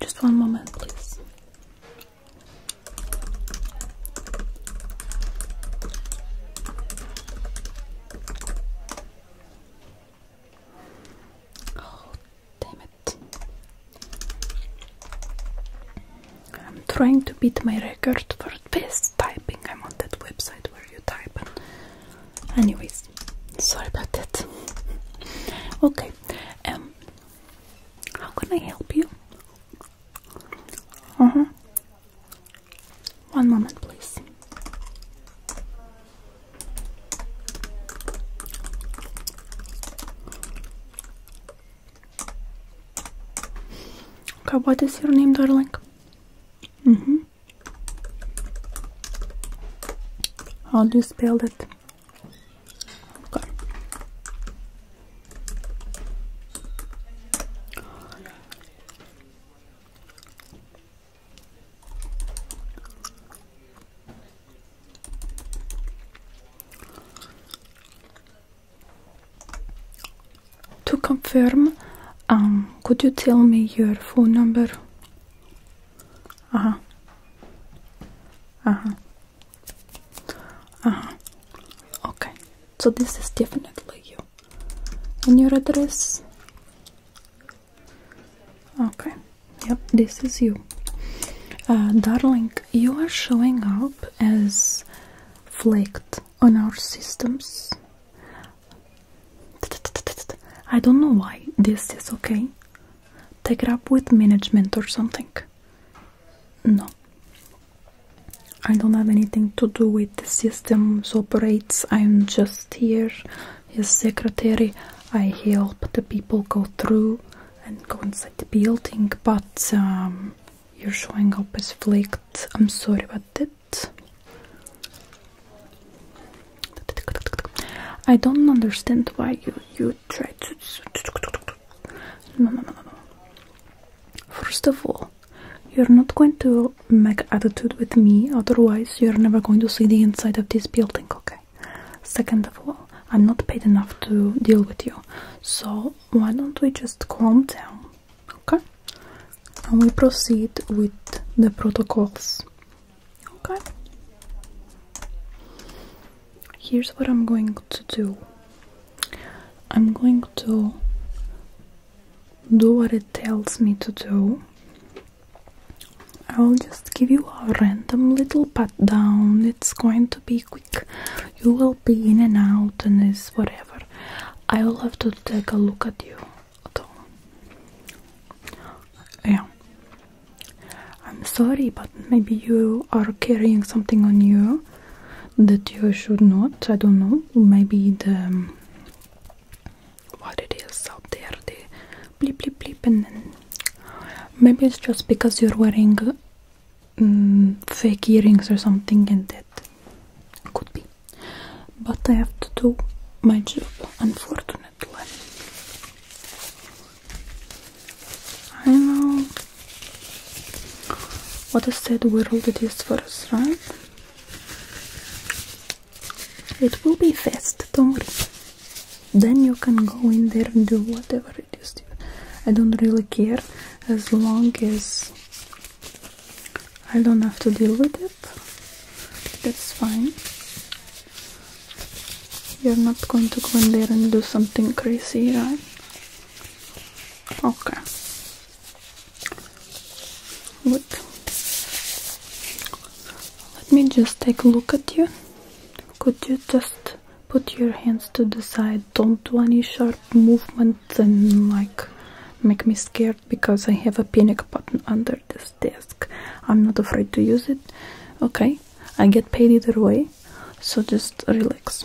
Just one moment, please. Oh, Damn it. I'm trying to beat my record for best typing. I'm on that website where you type. Anyways, sorry about that. okay, um, how can I help you? Uh huh. One moment, please. Mhm. Okay, what is your name, darling? Mm-hmm. How do you spell that? To confirm, um, could you tell me your phone number? Uh huh. Uh huh. Uh huh. Okay. So this is definitely you. And your address? Okay, yep, this is you. Uh, darling, you are showing up as flaked on our systems. I don't know why this is okay. Take it up with management or something. No. I don't have anything to do with the systems operates. I'm just here as secretary. I help the people go through and go inside the building, but um, you're showing up as flaked. I'm sorry about that. I don't understand why you you try to. No, no, no, no. First of all, you're not going to make attitude with me. Otherwise, you're never going to see the inside of this building. Okay. Second of all, I'm not paid enough to deal with you, so why don't we just calm down, okay? And we proceed with the protocols, okay? Here's what I'm going to do I'm going to do what it tells me to do I will just give you a random little pat down. It's going to be quick. You will be in and out and it's whatever. I will have to take a look at you at Yeah. I'm sorry, but maybe you are carrying something on you that you should not. I don't know. Maybe the what it is out there, the bleep bleep bleep and then maybe it's just because you're wearing mm, fake earrings or something and that could be but I have to do my job unfortunately I know what I said. a sad world it is for us right it will be fast, don't worry then you can go in there and do whatever it is I don't really care as long as I don't have to deal with it that's fine you're not going to go in there and do something crazy right okay good let me just take a look at you could you just put your hands to the side? Don't do any sharp movements and like make me scared because I have a panic button under this desk. I'm not afraid to use it. Okay, I get paid either way, so just relax.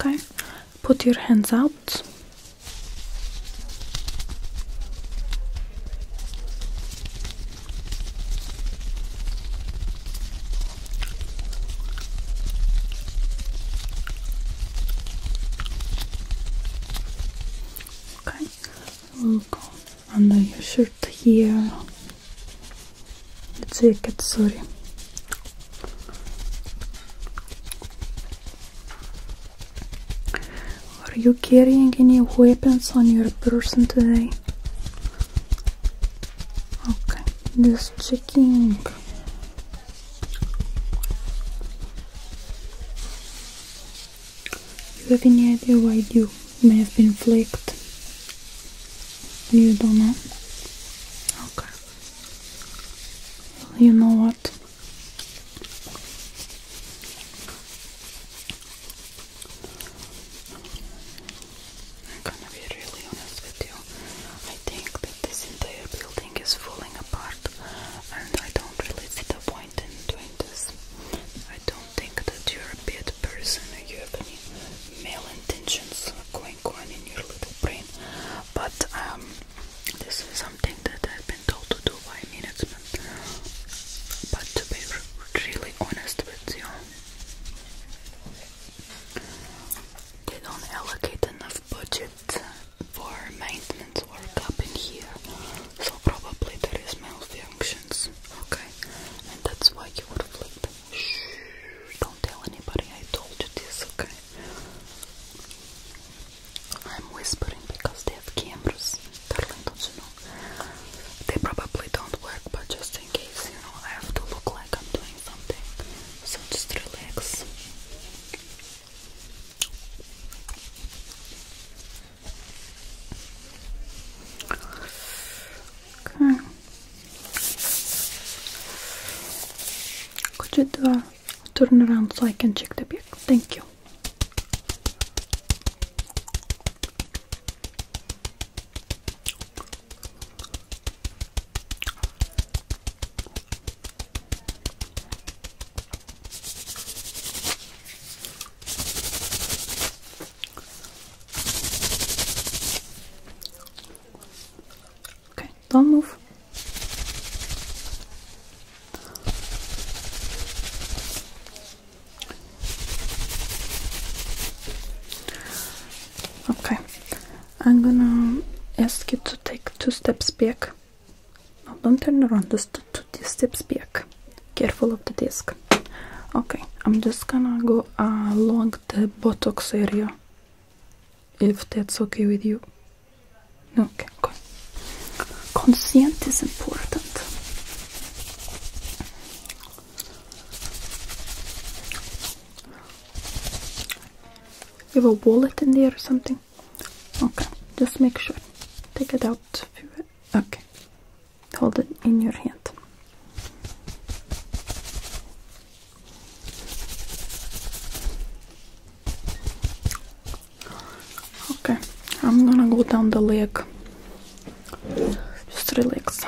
Okay, put your hands out. Okay, I under your shirt here. The jacket, sorry. Are you carrying any weapons on your person today? Okay, just checking you have any idea why you may have been flicked? You don't know? Okay. you know what? I'm gonna be really honest with you. I think that this entire building is falling apart, and I don't really see the point. I don't think that you're a bad person or you have any male intentions going on in your little brain, but um, this is something that I've been told to do by management. But to be really honest with you, they don't allocate enough budget for maintenance work up in here, so probably there is malfunctions, okay? And that's why you would flip. Shh, don't tell anybody I told you this, okay? I'm whispering because they have cameras, darling, don't you know? They probably don't work, but just in case, you know, I have to look like I'm doing something. So just relax. Okay. Hmm. Could you turn around so I can check the bag? Thank you. Okay, don't move. Okay, I'm gonna ask you to take two steps back now don't turn around, just two steps back. Careful of the desk. Okay, I'm just gonna go along the buttocks area. If that's okay with you. Okay, Consent is important. You have a wallet in there or something? Okay, just make sure. Take it out Okay. Hold it in your hand. Okay, I'm gonna go down the leg. Just relax.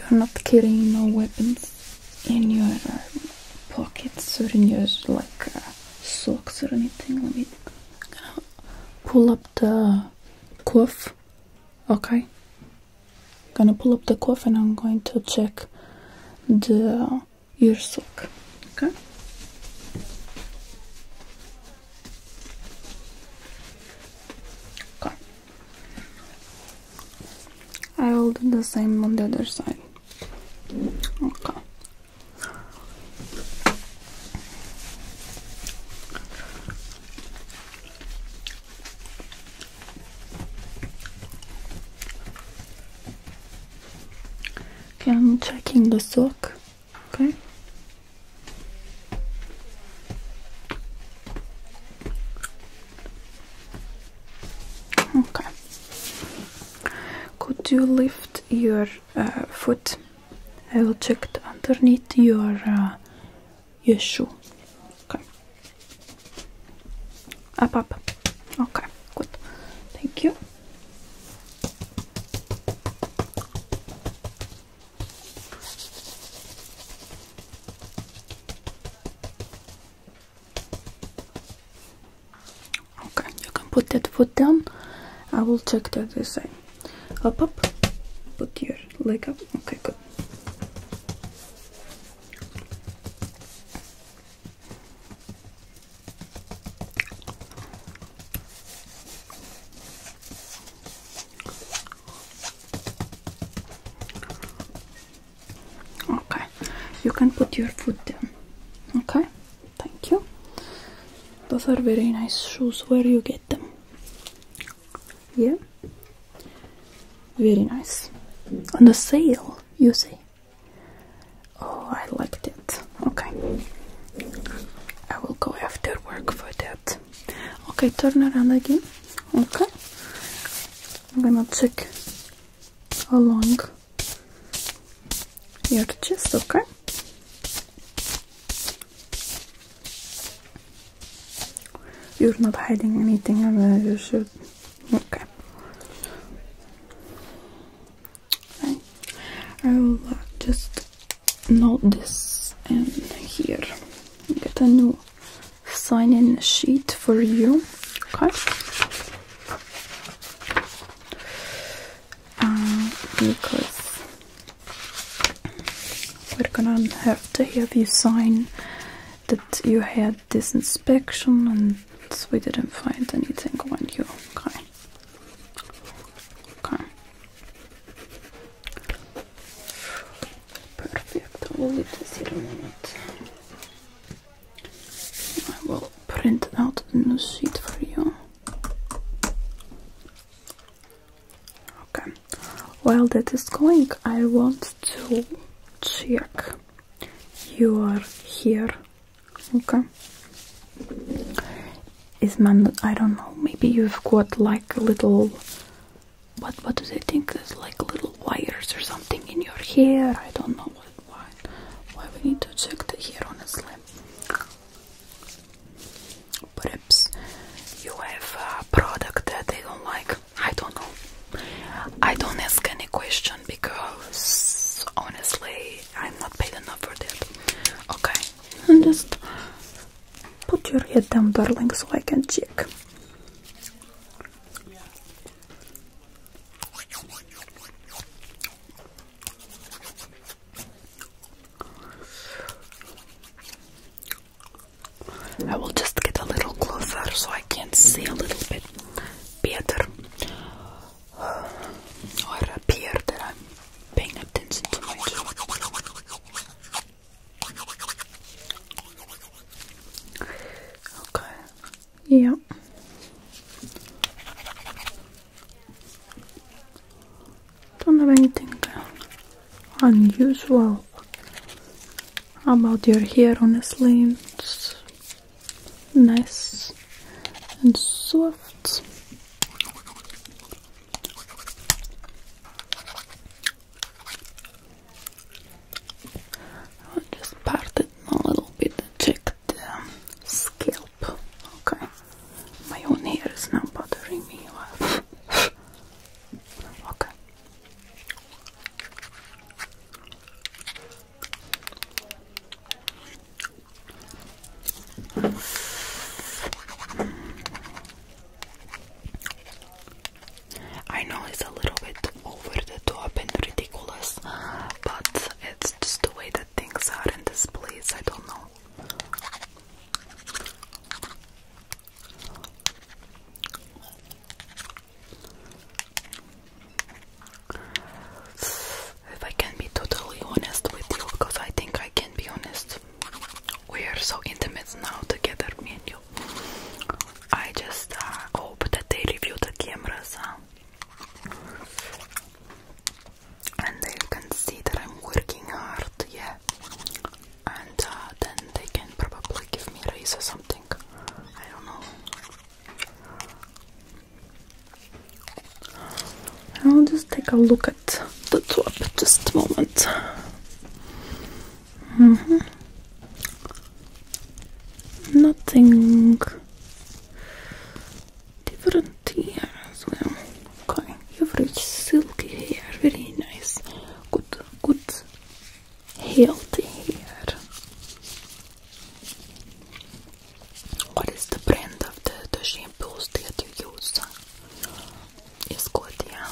You're not carrying no weapons in your uh, pockets or in your like uh, socks or anything. Let me pull up the cuff. Okay. Gonna pull up the cuff and I'm going to check the your sock. Okay. I will do the same on the other side. Okay. Okay, I'm checking the sock. Okay. Okay. Could you lift your uh, foot? I will check underneath your uh, your shoe. Okay. Up, up. Okay. Good. Thank you. Okay, you can put that foot down. I will check that the same. Up, up. Put your leg up. Okay, good. Okay, you can put your foot down. Okay, thank you. Those are very nice shoes. Where you get them? Yeah, very nice. On the sale, you see. Oh, I liked it. Okay, I will go after work for the Okay, turn around again. Okay. I'm gonna check along your chest, okay? You're not hiding anything i uh, you should okay. I will just note this and here get a new sign in sheet for you. Okay. Uh, because we're gonna have to have you sign that you had this inspection and we didn't find anything on you. Okay. Okay. Perfect, I'll leave this here a minute. I will print out a new sheet for you. Okay, while that is going, I want to check you are here. Okay. Is man? I don't know. Maybe you've got like a little what what do they think There's like little wires or something in your hair? I don't know why why we need to check the hair honestly. Perhaps you have a product that they don't like. I don't know. I don't ask any question because honestly I'm not paid enough for that. Okay. I'm just Put your head down, darling, so I can check. I will just get a little closer so I can see a little bit better uh, or appear that I'm paying attention to Okay. Yeah. Don't have anything unusual about your hair, honestly. It's nice and soft. I'll just part it a little bit and check the scalp. Okay. My own hair is not bothering me. okay. I know it's a little bit over the top and ridiculous, but it's just the way that things are in this place. I don't know. If I can be totally honest with you, because I think I can be honest, we are so intimate now together, me and you. I just uh, hope that they review the cameras uh, and they can see that I'm working hard, yeah. And uh, then they can probably give me a raise or something. I don't know. I'll just take a look at the top just a moment. Mm-hmm. Nothing different here as well. Okay, you've reached silky hair, very nice, good, good, healthy hair. What is the brand of the, the shampoos that you use? Is good, yeah.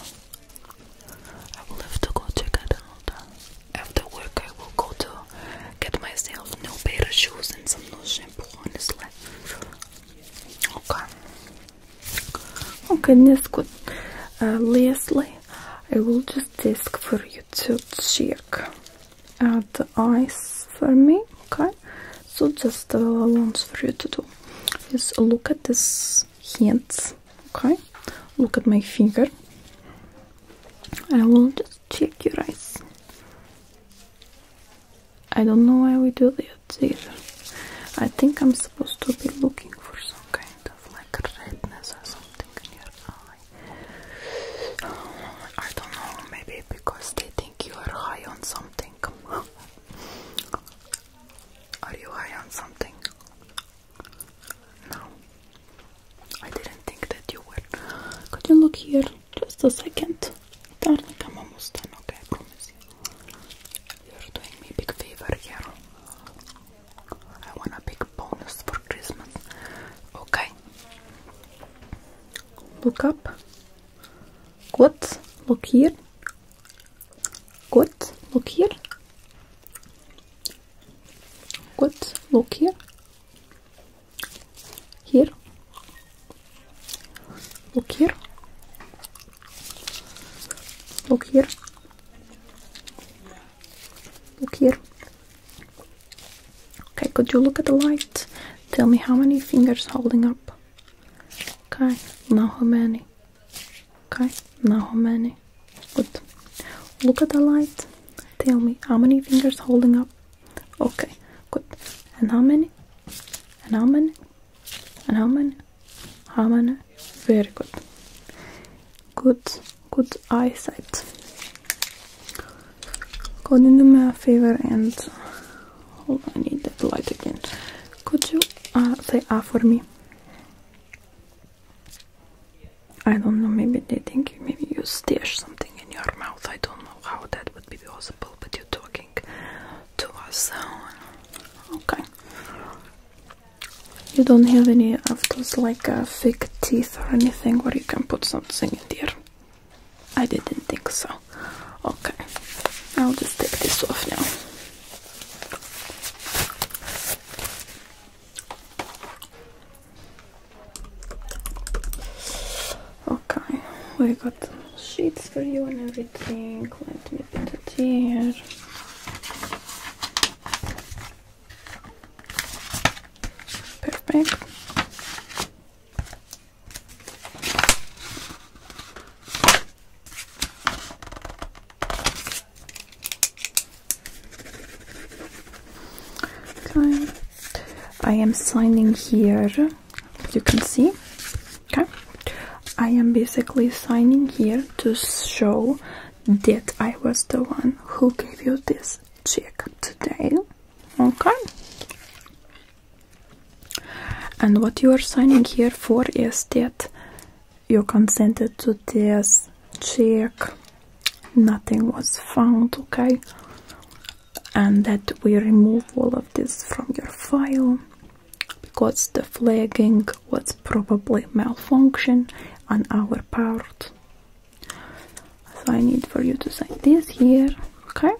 I will have to go check it out. After work, I will go to get myself new pair of shoes and some new shampoo, honestly. Okay. Okay, oh, that's good. Uh, lastly, I will just ask for you to check uh, the eyes for me, okay? So just once uh, for you to do is look at this hands Okay, look at my finger. I will just check your eyes. I don't know why we do that either. I think I'm supposed to be looking for some kind of like redness or something in your eye. I don't know, maybe because they think you are high on something. Are you high on something? No, I didn't think that you were. Could you look here just a second? Darling, I'm almost done, okay? I promise you. You're doing me a big favor here. I want a big bonus for Christmas, okay? Look up. Good. Look here. Good. Look here good look here here look here look here look here okay could you look at the light tell me how many fingers holding up okay now how many Okay, now how many? Good. Look at the light. Tell me how many fingers holding up. Okay, good. And how many? And how many? And how many? How many? Very good. Good, good eyesight. Could you do me a favor and hold I need that light again. Could you uh, say ah for me? I don't know, maybe they think maybe you stash something in your mouth. I don't know how that would be possible, but you're talking to us. okay. You don't have any of those like uh, fake teeth or anything where you can put something in there. I didn't think so. Okay, I'll just take this off now. Okay, we got sheets for you and everything. Let me put it here. Perfect. Okay. I am signing here, you can see. Okay. I am basically signing here to show that I was the one who gave you this check today. Okay. And what you are signing here for is that you consented to this check nothing was found okay and that we remove all of this from your file because the flagging was probably malfunction on our part so I need for you to sign this here okay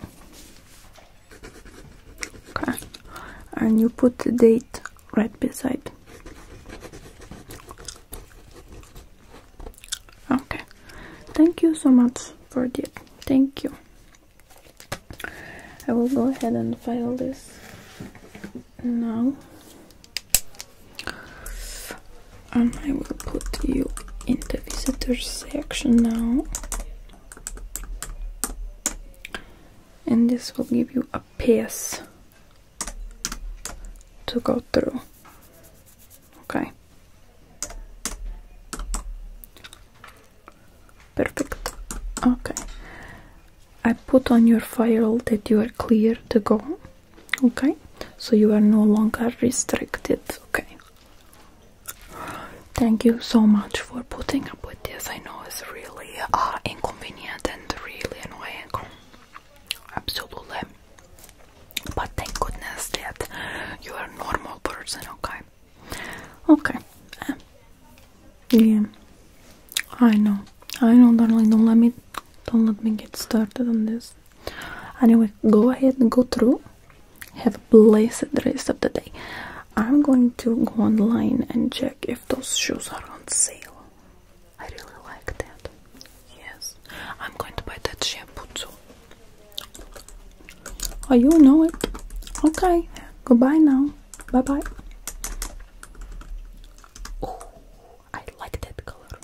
okay and you put the date right beside. Okay, thank you so much for the Thank you. I will go ahead and file this now, and I will put you in the visitor section now. And this will give you a pass to go through. Okay. Perfect. Okay. I put on your file that you are clear to go. Okay. So you are no longer restricted. Okay. Thank you so much for putting up with this. I know it's really uh, inconvenient and really annoying. Absolutely. But thank goodness that you are a normal person, okay? Okay. Eh. Yeah. I know. I know, Don't let me don't let me get started on this. Anyway, go ahead and go through. Have a blessed rest of the day. I'm going to go online and check if those shoes are on sale. I really like that. Yes, I'm going to buy that shampoo too. Are oh, you know Okay, goodbye now. Bye bye. Oh, I like that color.